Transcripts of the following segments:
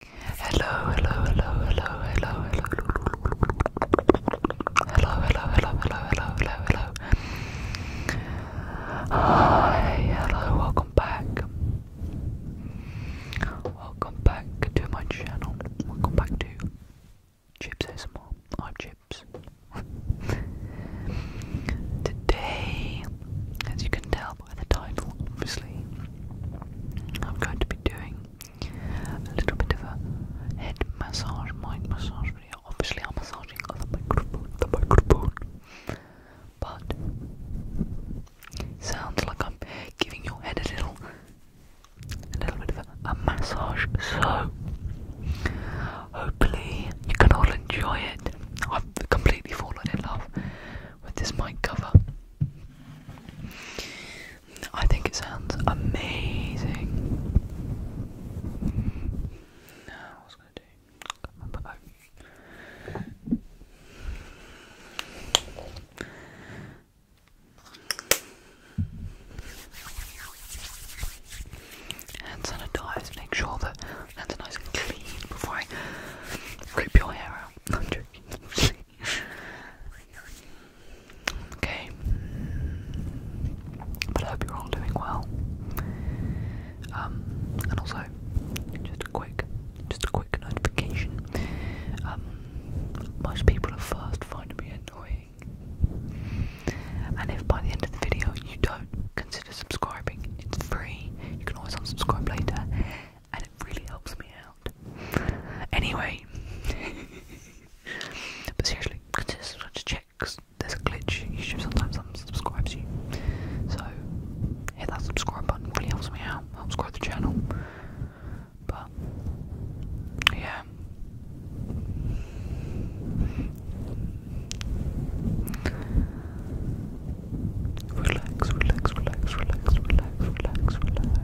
Hello, hello, hello, hello, hello, hello. Hello, hello, hello, hello, hello, hello, hello. Hi, hello, welcome back. Welcome back to my channel. Welcome back to Chips ASMR. I'm Chips. Today, as you can tell, by the title, obviously, I'm going to be doing a little bit of a head massage, mind massage video. Obviously, I'm massaging oh, the microphone, the microphone, but sounds like I'm giving your head a little, a little bit of a massage. So, hopefully, you can all enjoy it. I've completely fallen in love with this mic cover. I think it sounds amazing. Now, what going to do? Put back. Hand sanitize, make sure that hands are nice and clean before I rip your hair out. okay. But I hope you're all doing well. Um, and also, just a quick, just a quick notification. Um, most people at first find me annoying, and if by the end of the video you don't consider subscribing, it's free. You can always unsubscribe later, and it really helps me out. Anyway, but seriously, just check because there's a glitch. YouTube sometimes unsubscribes you, so hit that subscribe button. Really helps me out. Helps the channel. But yeah. Relax, relax, relax, relax, relax, relax, relax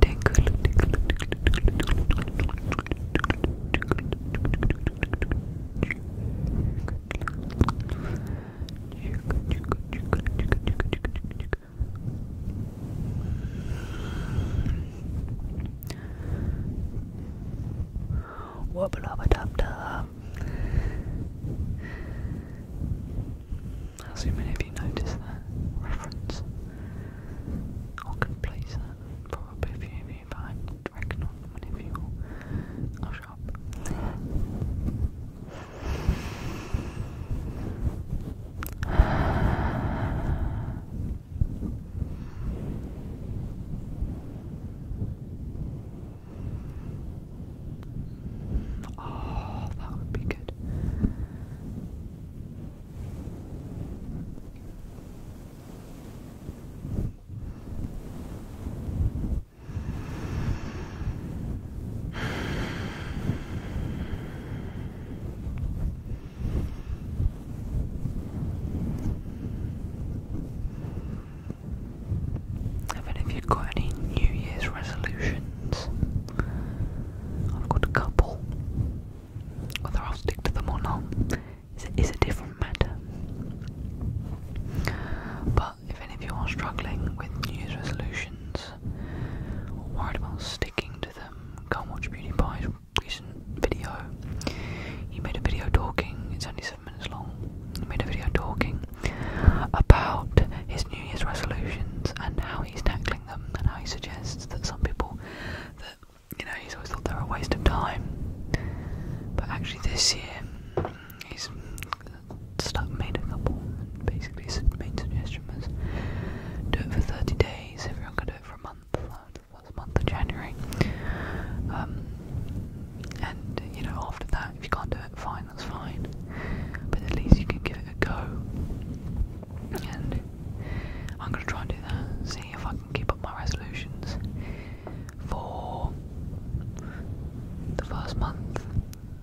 Tickle, tickle, Wobble up, dub dub. How many of you noticed that reference? I could place that probably if you if I reckon on one of your I'll shop. Oh, that would be good. Even you got any New Year's resolutions, I've got a couple. Whether I'll stick to them or not is a, different matter. But if any of you are struggling with New Year's resolutions or worried about sticking to them, go and watch PewDiePie's recent video. He made a video talking, it's only seven minutes long. He made a video talking about his New Year's resolutions and how he's tackling them, and how he suggests that some people you know he's always thought they're a waste of time, but actually this year he's stuck made a couple. And basically, his main suggestion was do it for 30 days. Everyone can do it for a month. Uh, that month of January. Um, and you know, after that, if you can't do it, fine, that's fine. But at least you can give it a go. And I'm gonna try and do that, see if I can keep up my resolutions for the first month,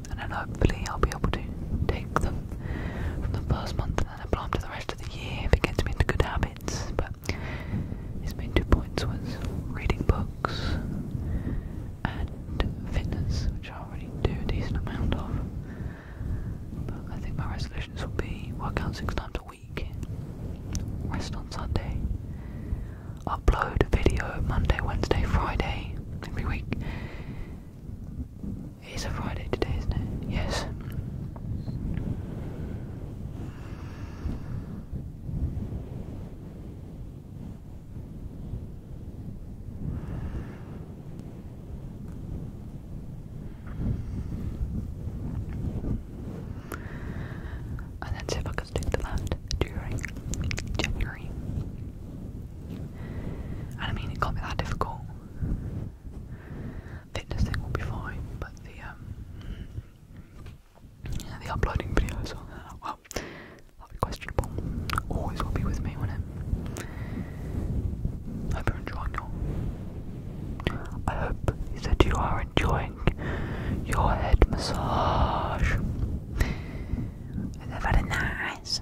and then hopefully I'll be able to take them from the first month and then apply them to the rest of the year if it gets me into good habits. But it main two points was reading books and fitness, which I already do a decent amount of. But I think my resolutions will be work out six times a week, rest on Sunday, upload a video Monday, Wednesday, Friday every week. It's a Friday today, isn't it? Yes. Oh, I don't know if I can stick to that during January. And I mean, it can't that difficult. Fitness thing will be fine, but the um, yeah, the uploading videos, well, that'll be questionable. Always will be with me, will it? Hope you're enjoying your. I hope that you are enjoying your head massage. Is that very nice?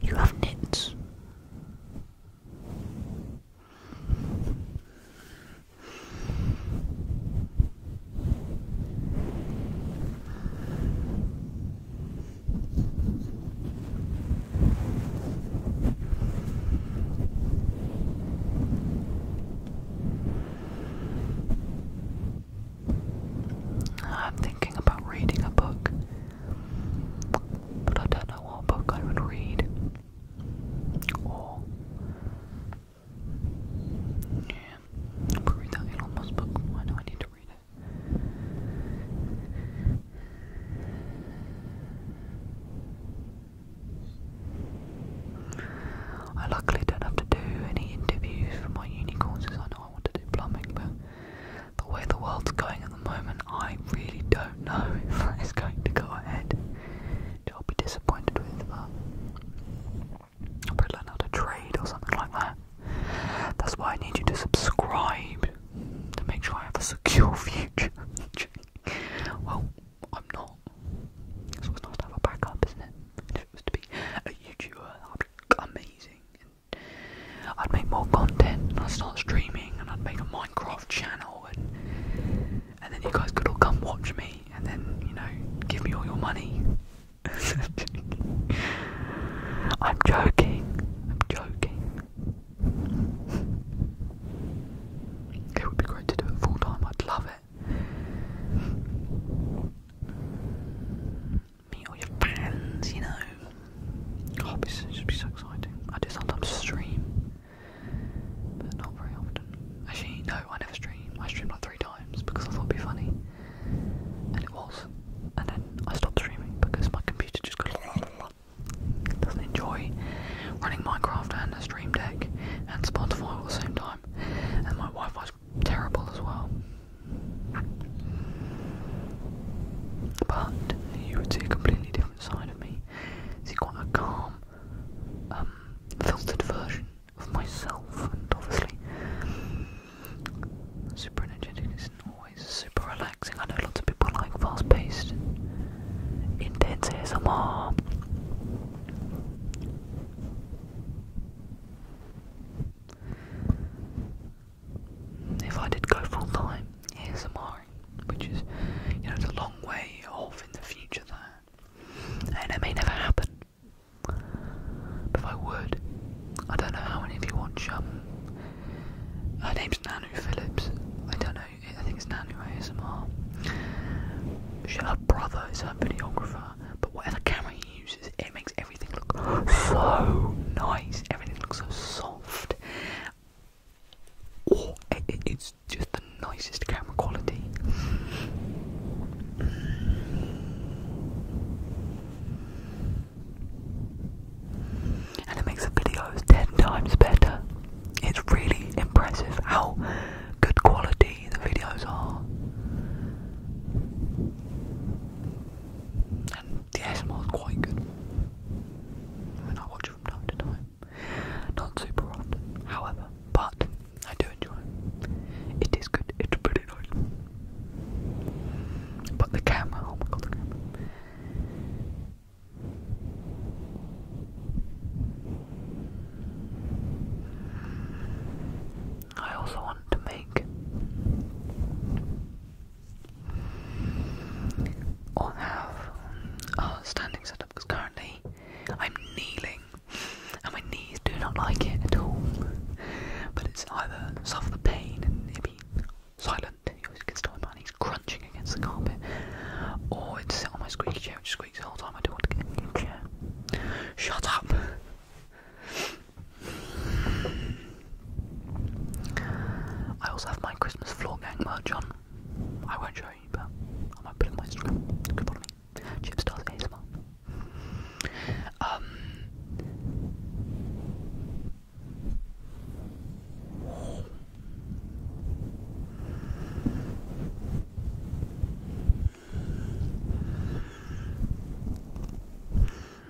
You have knits. Uh, I'm thinking about reading a book, but I don't know what book I would read. Or, yeah, I'll read that Elon Musk book. Why do I need to read it? I luckily don't have to do any interviews for my unicorns. courses. I know I want to do plumbing, but the way the world's going at the moment, I really don't know if it's going to go ahead. I'll be disappointed with, but uh, I'll probably learn how to trade or something like that. That's why I need you to subscribe to make sure I have a secure future. well, I'm not. So it's nice to have a backup, isn't it? And if it was to be a YouTuber, that'd be amazing. And I'd make more content, and I'd start streaming, and I'd make a Minecraft channel, and and then you guys could all come watch me, and then you know, give me all your money. I'm joking. I'm joking. It would be great to do it full time. I'd love it. Meet all your fans, you know. Oh, should be so exciting. I do sometimes stream, but not very often. Actually, no, I never stream. I streamed like three times because I thought it'd be funny, and it was. And then I stopped streaming because my computer just goes doesn't enjoy running Minecraft and a Stream Deck and Spotify at the same time, and my wife fis terrible as well. But you would see a completely different side of me. See quite a calm, um, filtered version of myself, and obviously, super energetic not always super relaxing. I know lots of people like fast paced, intense ASMR. If I did go full time ASMR, which is, you know, it's a long way off in the future there, and it may never happen. But if I would, I don't know how many of you watch. Um, her name's Nanu Phillips. I don't know. I think it's Nanu ASMR. She, her brother is her videographer, but what are the cameras? it makes everything look so nice. Everything looks so soft. Oh, it's just the nicest camera quality. And it makes the videos ten times better. It's really impressive good quality the videos are. And the ASMR is quite good. I watch from time to time. Not super often, however, but I do enjoy it. It is good, it's pretty nice. But the camera, oh my god, the camera. I also want to make or have a standing setup because currently I'm kneeling and my knees do not like it at all. But it's either suffer the pain and be silent, you can still my knees crunching against the carpet, or it's sit on my squeaky chair which squeaks the whole time. I do not want to get a new chair. Shut up! I also have my Christmas floor gang merch on. I won't show you, but I might put it on my Instagram. You can follow me. Chipstars ASMR. Um.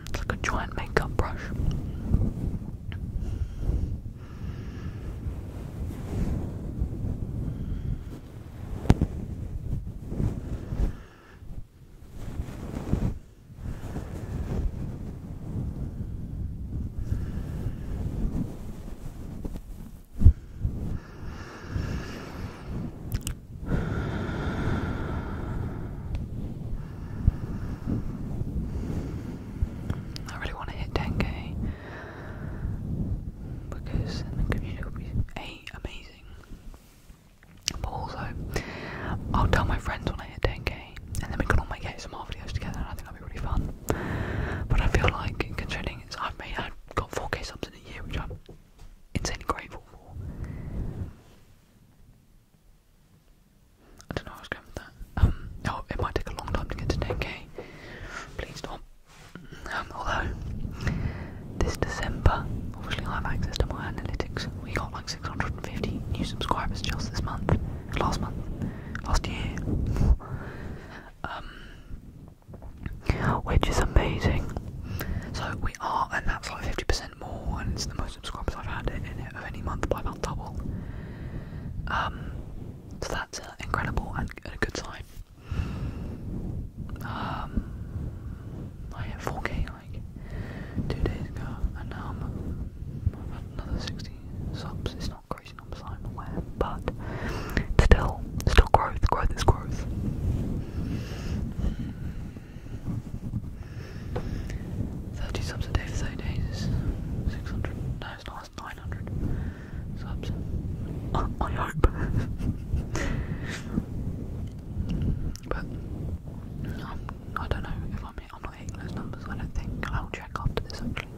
It's like a giant makeup brush. I really want to hit 10k because then the community will be amazing. But also, I'll tell my friends when I hit 10k and then we can all make some ASMR videos together and I think that'll be really fun. But I feel like, considering it's, I've made, I've got 4k something in a year, which I'm insanely grateful for. I don't know where I was going with that. Um, oh, it might take a long time to get to 10k. Please stop. Um, although, this December, obviously I have access to my analytics. We got like 650 new subscribers just this month. Last month. Last year. um, which is amazing. So we are, and that's like 50% more, and it's the most subscribers I've had in it of any month by about double. Um, so that's uh, incredible and a good sign. Um, I hit 4K like two days ago, and now I'm, i another 60 subs. It's not crazy numbers, I'm aware, but still, still growth. Growth is growth. 30 subs a day for 30 days is 600. No, it's 900 subs. I hope. but I'm, um, I do not know if I'm, I'm not hitting those numbers. I think I'll check after this actually.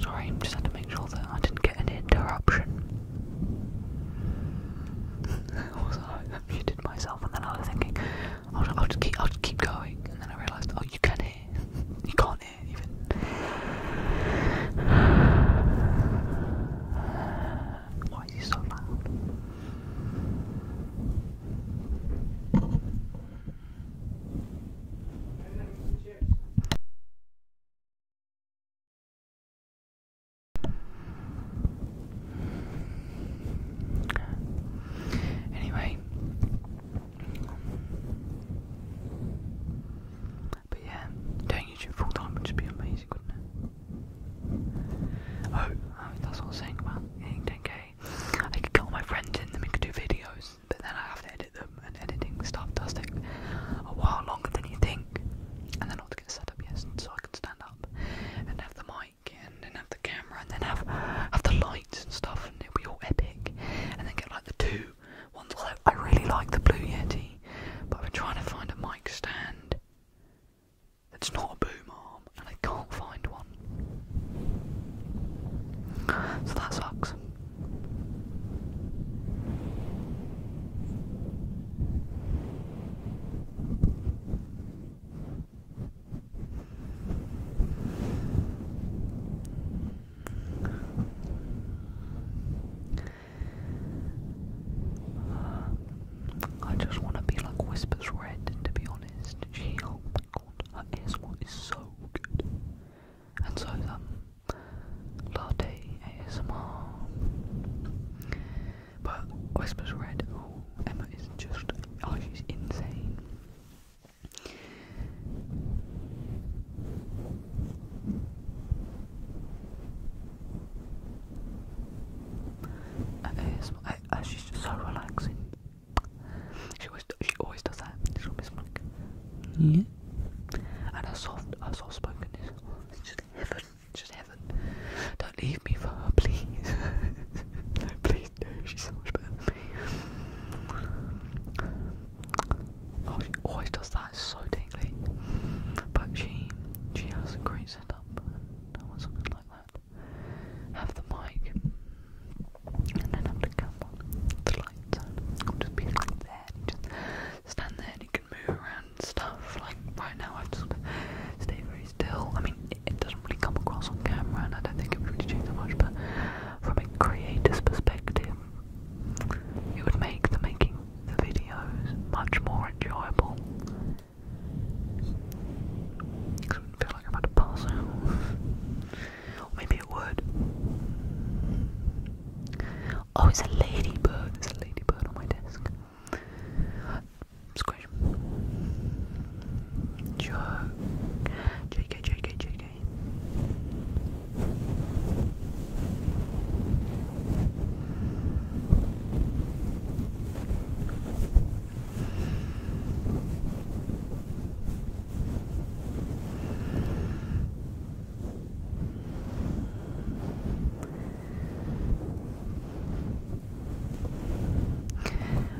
Sorry, I just had to make sure that I didn't get an interruption. also, I muted myself, and then I was thinking, I'll, I'll just keep, going, and then I realised, oh, you can not hear, you can't hear even. Why is he so loud? Anyway, but yeah, doing YouTube full time would just be amazing, wouldn't it? Oh, oh, that's what I am saying about getting 10k. I could get all my friends in and we could do videos, but then I have to edit them, and editing stuff does take a while longer than you think. And then I have to get set up, yes, so I can stand up and have the mic, and then have the camera, and then have have the lights and stuff, and it'll be all epic. And then get like the two ones. Although I really like the Blue Yeti, but I've been trying to find a mic stand. It's not a boom arm, and I can't find one. So that sucks. I just want to be like Whispers Red, to be honest. She, oh my god, her ASMR is so good. And so is, um, Latte ASMR. But Whispers Red, oh, Emma is just, oh, she's insane. ASMR, and uh, she's just so relaxing. She always, she always does that. She's always like, yeah. And her soft, her soft spokenness. just heaven. just heaven. Don't leave me for her, please. please, She's so much better oh, she always does that. so tingly. But she, she has a great setup. Have the mic, and then have the camera, the lights on. just be like there, just stand there, and you can move around stuff. Like right now, I've just stay very still. I mean, it, doesn't really come across on camera, and I don't think it really change much. But from a creator's perspective, it would make the making the videos much more enjoyable I wouldn't feel like I'm about to pass out. maybe it would. Oh, it's a ladybird. There's a ladybird on my desk. Squish. Joke. JK, JK, JK.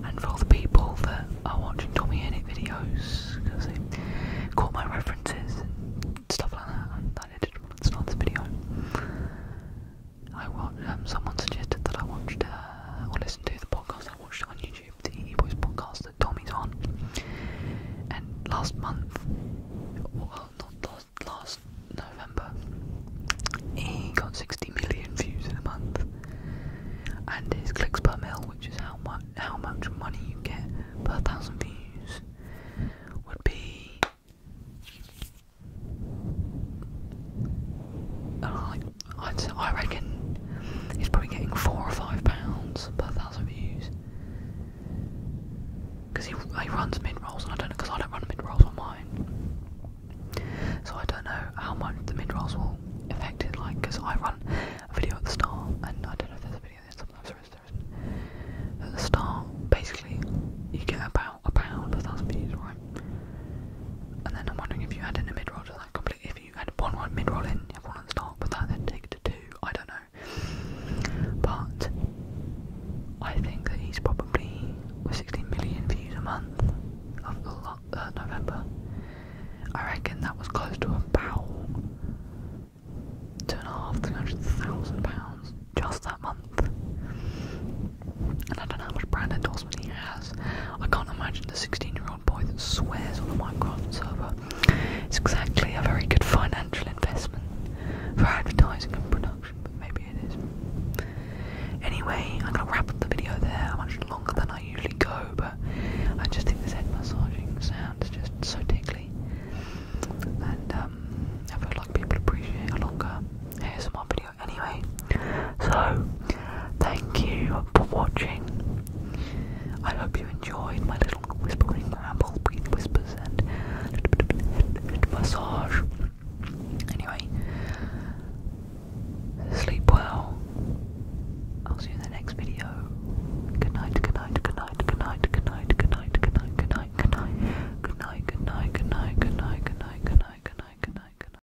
And for all the people that are watching Tommy Innit videos, because they caught my references and stuff like that, and I did want to start this video. I watched, um, someone suggested that I watched uh, or listened to the podcast I watched on YouTube, the E Boys podcast that Tommy's on. And last month, well, not last, last November, he got 60 million views in a month. And his clicks per mil, which is how much how much money you get per thousand views, would be i reckon he's probably getting four or five pounds per thousand views. Because he, he runs mid rolls, and I don't know, because I don't run mid rolls on mine. So I don't know how much the mid rolls will affect it, like, because I run a video at the start, and I don't know if there's a video there, sometimes there At the start, basically, you get about a pound per thousand views, right? And then I'm wondering if you had in a mid roll to that completely. If you had one mid roll in, you have one at the start but that, then take it to two. I don't know. But I think that he's probably with 16 million views a month of the lot, uh, November. I reckon that was close to a pound, two and a half, three hundred thousand pounds just that month. And I don't know how much brand endorsement he has. I can't imagine the 16 year old boy that swears on a Minecraft server. It's exactly a very good financial investment for advertising and production, but maybe it is. Anyway, I'm gonna wrap up the video there. I Much longer than I usually go, but I just think this head massaging sound is just so tickly. And um, I feel like people appreciate a longer ASMR video anyway. So, thank you for watching. I hope you enjoyed my little whispering ramble, breathe whispers, and little bit of massage. Anyway, sleep well. I'll see you in the next video. good night, good night, good night, good night, good night, good night, good night, good night, good night, good night, good night, good night, good night, good night, good night, good night, good night.